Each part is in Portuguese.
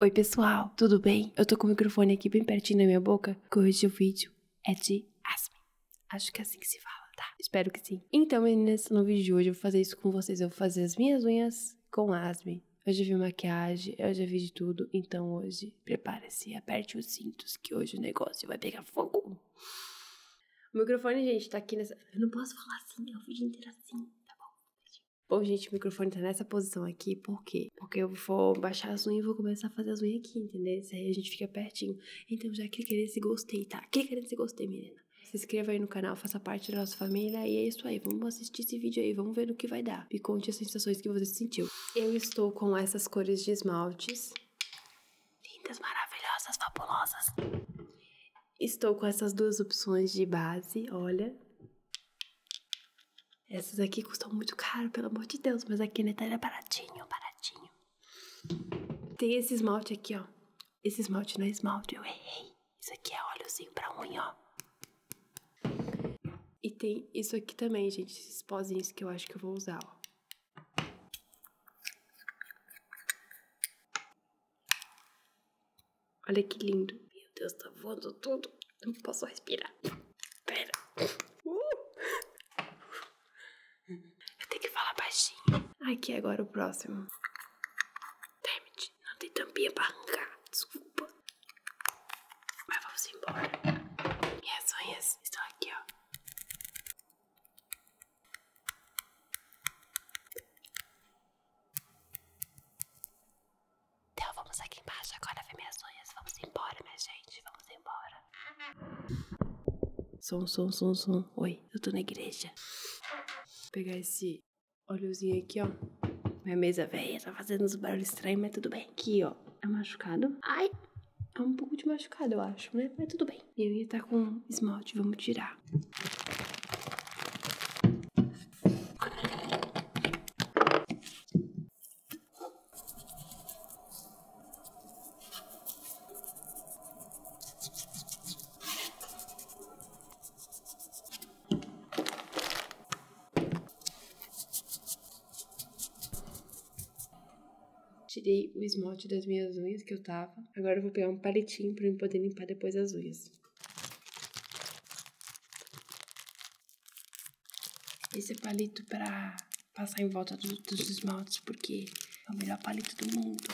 Oi, pessoal, tudo bem? Eu tô com o microfone aqui bem pertinho na minha boca, porque hoje o vídeo é de Asme. Acho que é assim que se fala, tá? Espero que sim. Então, nesse novo vídeo de hoje eu vou fazer isso com vocês. Eu vou fazer as minhas unhas com asma. Eu já vi maquiagem, eu já vi de tudo. Então, hoje, prepare-se, aperte os cintos, que hoje o negócio vai pegar fogo. O microfone, gente, tá aqui nessa. Eu não posso falar assim, é o vídeo inteiro assim, tá bom? Bom, gente, o microfone tá nessa posição aqui, por quê? Porque eu vou baixar as unhas e vou começar a fazer as unhas aqui, entendeu? Isso aí a gente fica pertinho. Então já clica nesse gostei, tá? Clica nesse gostei, menina. Se inscreva aí no canal, faça parte da nossa família e é isso aí. Vamos assistir esse vídeo aí, vamos ver no que vai dar. Me conte as sensações que você sentiu. Eu estou com essas cores de esmaltes. Lindas, maravilhosas, fabulosas. Estou com essas duas opções de base, olha. Essas aqui custam muito caro, pelo amor de Deus, mas aqui na Kenetara é baratinho, baratinho. Tem esse esmalte aqui, ó. Esse esmalte não é esmalte, eu errei. Isso aqui é óleozinho pra unha, ó. E tem isso aqui também, gente, esses pozinhos que eu acho que eu vou usar, ó. Olha que lindo. Meu Deus, tá voando tudo. Não posso respirar. Pera. Uh. Eu tenho que falar baixinho. Aqui agora o próximo. Dammit, não tem tampinha pra arrancar. Desculpa. Mas vamos embora. Minhas unhas oh, estão aqui, ó. Então vamos aqui embaixo agora ver minhas unhas. Vamos embora, minha gente. Vamos embora. Som, som, som, som. Oi, eu tô na igreja. Vou pegar esse olhozinho aqui, ó. Minha mesa velha tá fazendo uns barulhos estranhos, mas tudo bem. Aqui, ó. É machucado. Ai! É um pouco de machucado, eu acho, né? Mas tudo bem. Minha unha tá com esmalte, vamos tirar. Tirei o esmalte das minhas unhas que eu tava. Agora eu vou pegar um palitinho para eu poder limpar depois as unhas. Esse é palito pra passar em volta dos esmaltes, porque é o melhor palito do mundo.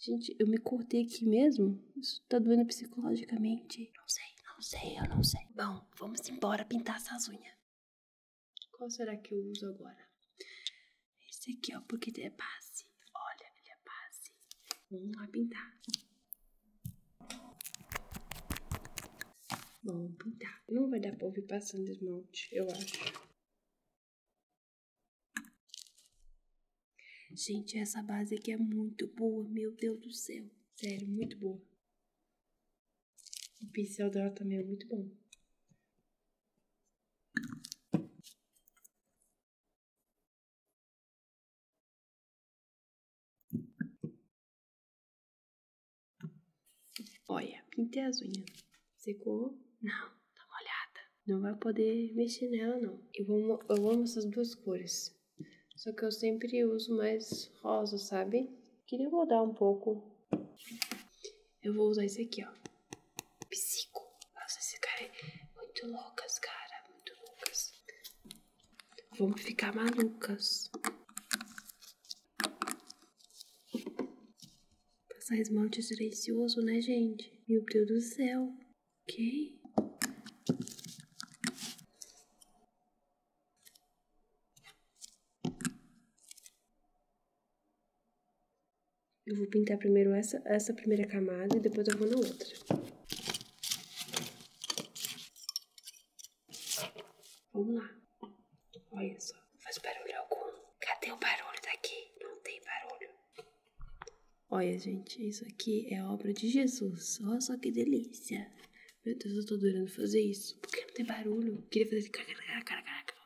Gente, eu me cortei aqui mesmo? Isso tá doendo psicologicamente. Não sei, não sei, eu não sei. Bom, vamos embora pintar essas unhas. Qual será que eu uso agora? Esse aqui, ó, porque ele é base. Olha, ele é base. Vamos lá pintar. Vamos pintar. Não vai dar pra ouvir passando esmalte, eu acho. Gente, essa base aqui é muito boa, meu Deus do céu. Sério, muito boa. O pincel dela também é muito bom. Olha, pintei as unhas. Secou? Não, tá molhada. Não vai poder mexer nela, não. eu amo essas duas cores. Só que eu sempre uso mais rosa, sabe? Queria mudar um pouco. Eu vou usar esse aqui, ó. Psico. Nossa, esse cara é muito loucas, cara. Muito loucas. Vamos ficar malucas. Passar esse monte silencioso, né, gente? Meu Deus do céu. Ok? Eu vou pintar primeiro essa, essa primeira camada e depois eu vou na outra. Vamos lá. Olha só, faz barulho algum? Cadê o barulho daqui? Não tem barulho. Olha, gente, isso aqui é obra de Jesus. Olha só que delícia. Meu Deus, eu tô adorando fazer isso. Porque não tem barulho. Eu queria fazer...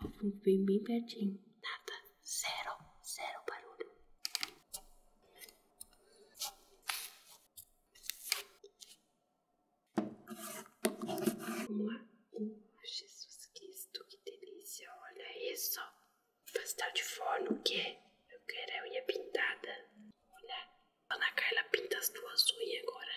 Ela foi bem, bem pertinho. Nada. Zero. Zero barulho. um. lá. Oh, Jesus Cristo, que delícia. Olha isso. Pastel de forno, o que Eu quero a unha pintada. Olha. A Ana ela pinta as duas unhas agora.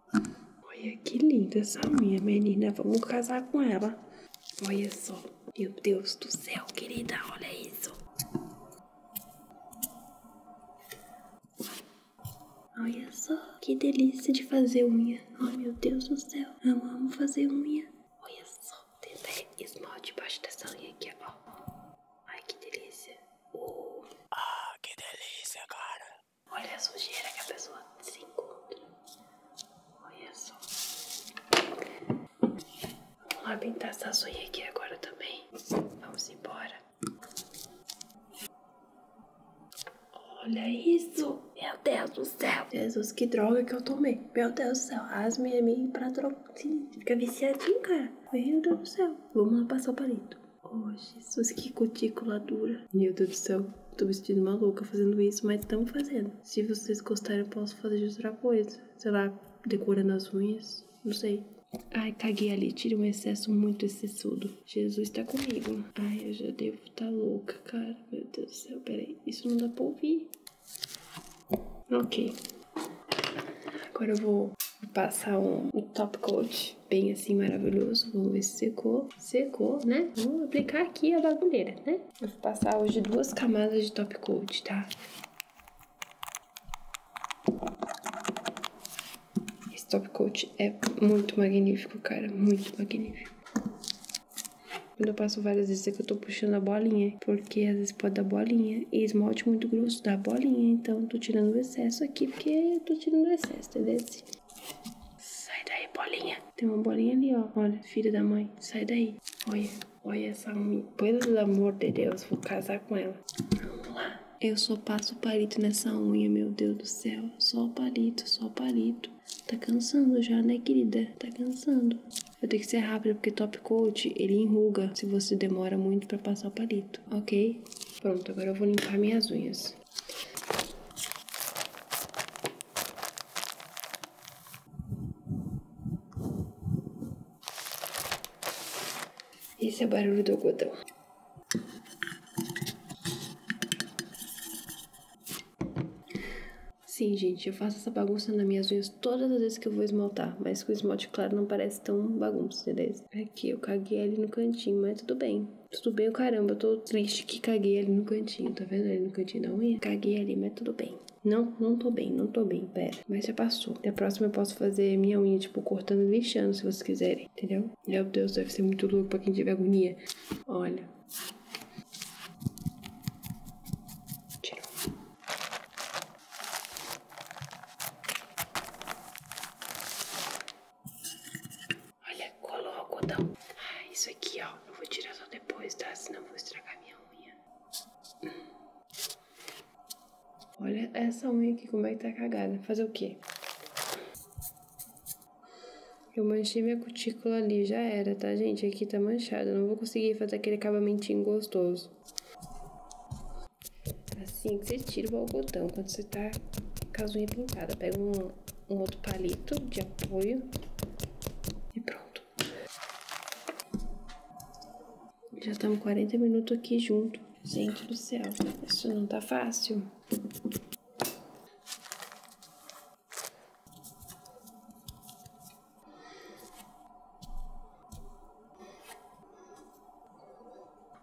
Olha que linda essa unha, menina. Vamos casar com ela. Olha só. Meu Deus do céu, querida. Olha isso. Olha só. Que delícia de fazer unha. Oh, meu Deus do céu. Eu amo fazer unha. Olha só. tentar esmalte debaixo dessa unha aqui, ó. Ai, que delícia. Ah, que delícia, cara. Olha a sujeira que a pessoa se encontra. Olha só. Vamos lá pintar essa unha aqui agora também. Vamos embora. Olha isso! Meu Deus do céu! Jesus, que droga que eu tomei! Meu Deus do céu! As minhas amigas pra trocar. Fica viciadinho, cara! Meu Deus do céu! Vamos lá passar o palito. Oh, Jesus, que cutícula dura. Meu Deus do céu, tô me sentindo maluca fazendo isso, mas estamos fazendo. Se vocês gostarem, eu posso fazer outra coisa. Sei lá, decorando as unhas, não sei. Ai, caguei ali, tira um excesso muito excessivo. Jesus tá comigo. Ai, eu já devo estar tá louca, cara. Meu Deus do céu, peraí. Isso não dá pra ouvir. Ok. Agora eu vou passar um, top coat bem assim maravilhoso. Vamos ver se secou. Secou, né? Vamos aplicar aqui a bagulheira, né? Eu vou passar hoje duas camadas de top coat, tá? Esse top coat é muito magnífico, cara. Muito magnífico. Quando eu passo várias vezes é que eu tô puxando a bolinha, porque às vezes pode dar bolinha e esmalte muito grosso da bolinha, então tô tirando o excesso aqui, porque eu tô tirando o excesso, tá Sai daí, bolinha. Tem uma bolinha ali, ó. Olha, filha da mãe, sai daí. Olha, olha essa minha. Pelo amor de Deus, vou casar com ela. Vamos lá. Eu só passo palito nessa unha, meu Deus do céu. Só palito, só palito. Tá cansando já, né, querida? Tá cansando. Eu tenho que ser rápida porque top coat ele enruga se você demora muito para passar o palito ok? Pronto, agora eu vou limpar minhas unhas. Esse é o barulho do algodão. Sim, gente, eu faço essa bagunça nas minhas unhas todas as vezes que eu vou esmaltar, mas com esmalte claro não parece tão bagunça, entendeu? Aqui é eu caguei ali no cantinho, mas tudo bem. Tudo bem, caramba, eu tô triste que caguei ali no cantinho, tá vendo ali no cantinho da unha? Caguei ali, mas tudo bem. Não, não tô bem, não tô bem, pera. Mas já passou. Da próxima eu posso fazer minha unha, tipo, cortando e lixando, se vocês quiserem, entendeu? Meu Deus, deve ser muito louco pra quem tiver agonia. Olha. Tirou. Olha, colou o algodão. Ah, isso aqui, ó. Eu vou tirar só depois, tá? Senão eu vou estragar minha unha. Olha essa unha aqui, como é que tá cagada. Fazer o quê? Eu manchei minha cutícula ali, já era, tá, gente? Aqui tá manchado. Eu não vou conseguir fazer aquele acabamentinho gostoso. Assim que você tira o algodão, quando você tá com as unhas pintadas, pega um, um outro palito de apoio e pronto. Já estamos 40 minutos aqui junto. Gente do céu, isso não tá fácil.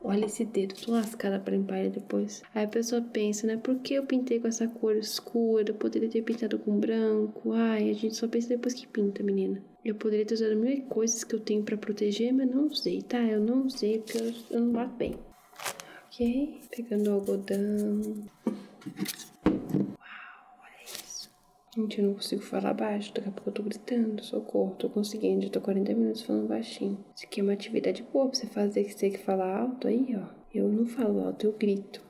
Olha esse dedo, tô lascado pra limpar ele depois. Aí a pessoa pensa, né? Por que eu pintei com essa cor escura? poderia ter pintado com branco. Ai, a gente só pensa depois que pinta, menina. Eu poderia ter usado mil coisas que eu tenho pra proteger, mas não usei, tá? Eu não usei porque eu, não bato bem. Ok? Pegando o algodão. Uau, olha isso. Gente, eu não consigo falar baixo, daqui a pouco eu tô gritando, socorro, tô conseguindo, já tô 40 minutos falando baixinho. Isso aqui é uma atividade boa pra você fazer, que você tem que falar alto aí, ó. Eu não falo alto, eu grito.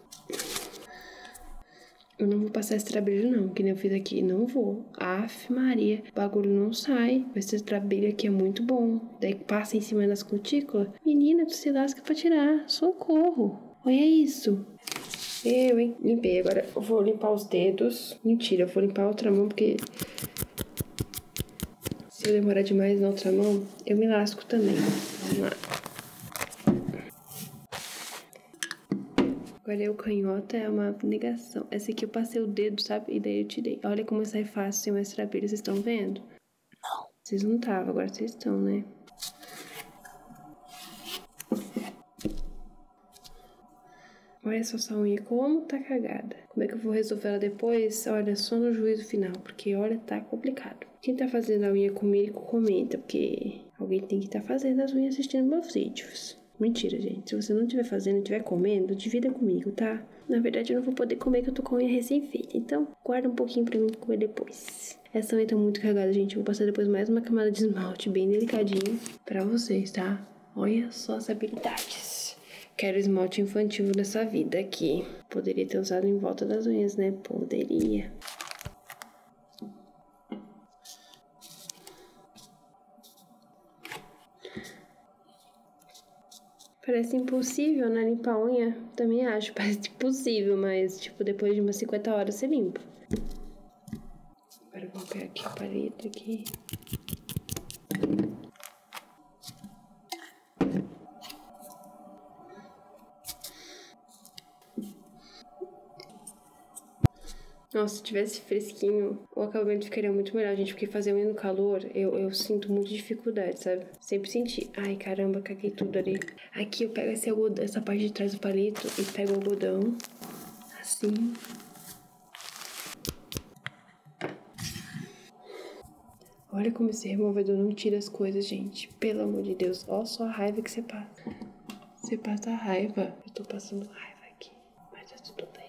Eu não vou passar esse trabalho não, que nem eu fiz aqui, não vou. Aff, Maria, o bagulho não sai. Esse trabalho aqui é muito bom. Daí passa em cima das cutículas. Menina, tu se lasca pra tirar. Socorro. Olha isso. Eu, hein? Limpei. Agora eu vou limpar os dedos. Mentira, eu vou limpar a outra mão porque. Se eu demorar demais na outra mão, eu me lasco também. Vamos lá. Agora eu é canhota é uma negação. Essa aqui eu passei o dedo, sabe? E daí eu tirei. Olha como sai é fácil sem mais trabalho. Vocês estão vendo? Não. Vocês não estavam, agora vocês estão, né? Olha só essa unha, como tá cagada. Como é que eu vou resolver ela depois? Olha, só no juízo final, porque olha, tá complicado. Quem tá fazendo a unha comigo, comenta, porque alguém tem que estar tá fazendo as unhas assistindo meus vídeos. Mentira, gente. Se você não estiver fazendo, estiver comendo, divida comigo, tá? Na verdade, eu não vou poder comer que eu tô com a unha recém-feita. Então, guarda um pouquinho pra mim comer depois essa também estão tá muito cagadas, gente. vou passar depois mais uma camada de esmalte bem delicadinho pra vocês, tá? Olha só as habilidades. Quero esmalte infantil nessa vida aqui. Poderia ter usado em volta das unhas, né? Poderia. Parece impossível, né? Limpar a unha. Também acho. Parece possível, mas tipo, depois de umas 50 horas você limpa. Agora eu vou pegar aqui o parede aqui. Nossa, se tivesse fresquinho, o acabamento ficaria muito melhor, gente, porque fazer unha no calor, eu, eu sinto muita dificuldade, sabe? Sempre senti. Ai, caramba, caguei tudo ali. Aqui eu pego essa parte de trás do palito e pego o algodão. Assim. Olha como esse removedor não tira as coisas, gente. Pelo amor de Deus. Olha só a raiva que você passa. Você passa a raiva. Eu tô passando raiva aqui. Mas tá tudo bem.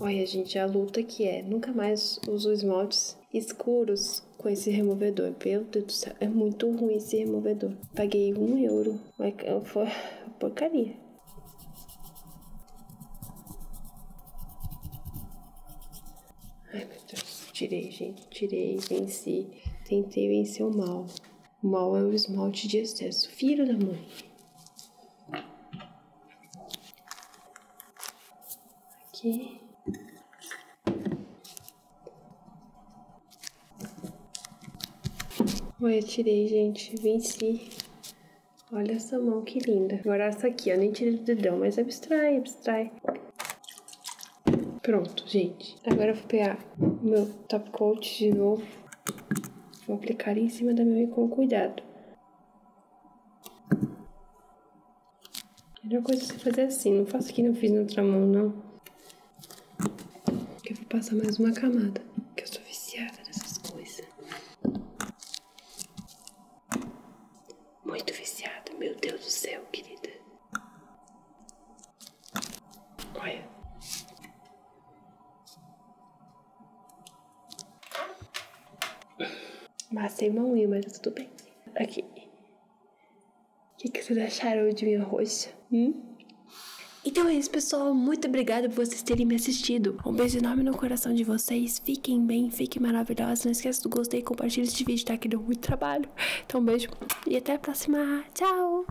Olha, gente, a luta que é. Nunca mais uso esmaltes escuros com esse removedor. Meu Deus do céu, é muito ruim esse removedor. Paguei um euro. Mas é foi porcaria. Ai, meu Deus. Tirei, gente. Tirei, venci. Tentei vencer o mal. O mal é o esmalte de excesso. Filho da mãe. Aqui. Olha, eu tirei, gente. Venci. Olha essa mão que linda. Agora essa aqui, eu nem tirei do dedão, mas abstrai, abstrai. Pronto, gente. Agora eu vou pegar meu top coat de novo. Vou aplicar em cima da minha unha com cuidado. A melhor coisa é você fazer assim, não faço que não fiz na outra mão, não. Eu vou passar mais uma camada, que eu sou viciada nessas coisas. Muito viciada, meu Deus do céu, querida. Olha. Passei mão mas tá tudo bem. Aqui. O que, que vocês acharam de minha roxa? Hum? Então é isso, pessoal. Muito obrigada por vocês terem me assistido. Um beijo enorme no coração de vocês. Fiquem bem, fiquem maravilhosos. Não esqueça do gostei e compartilhe este vídeo, tá? Que deu muito trabalho. Então, um beijo e até a próxima. Tchau!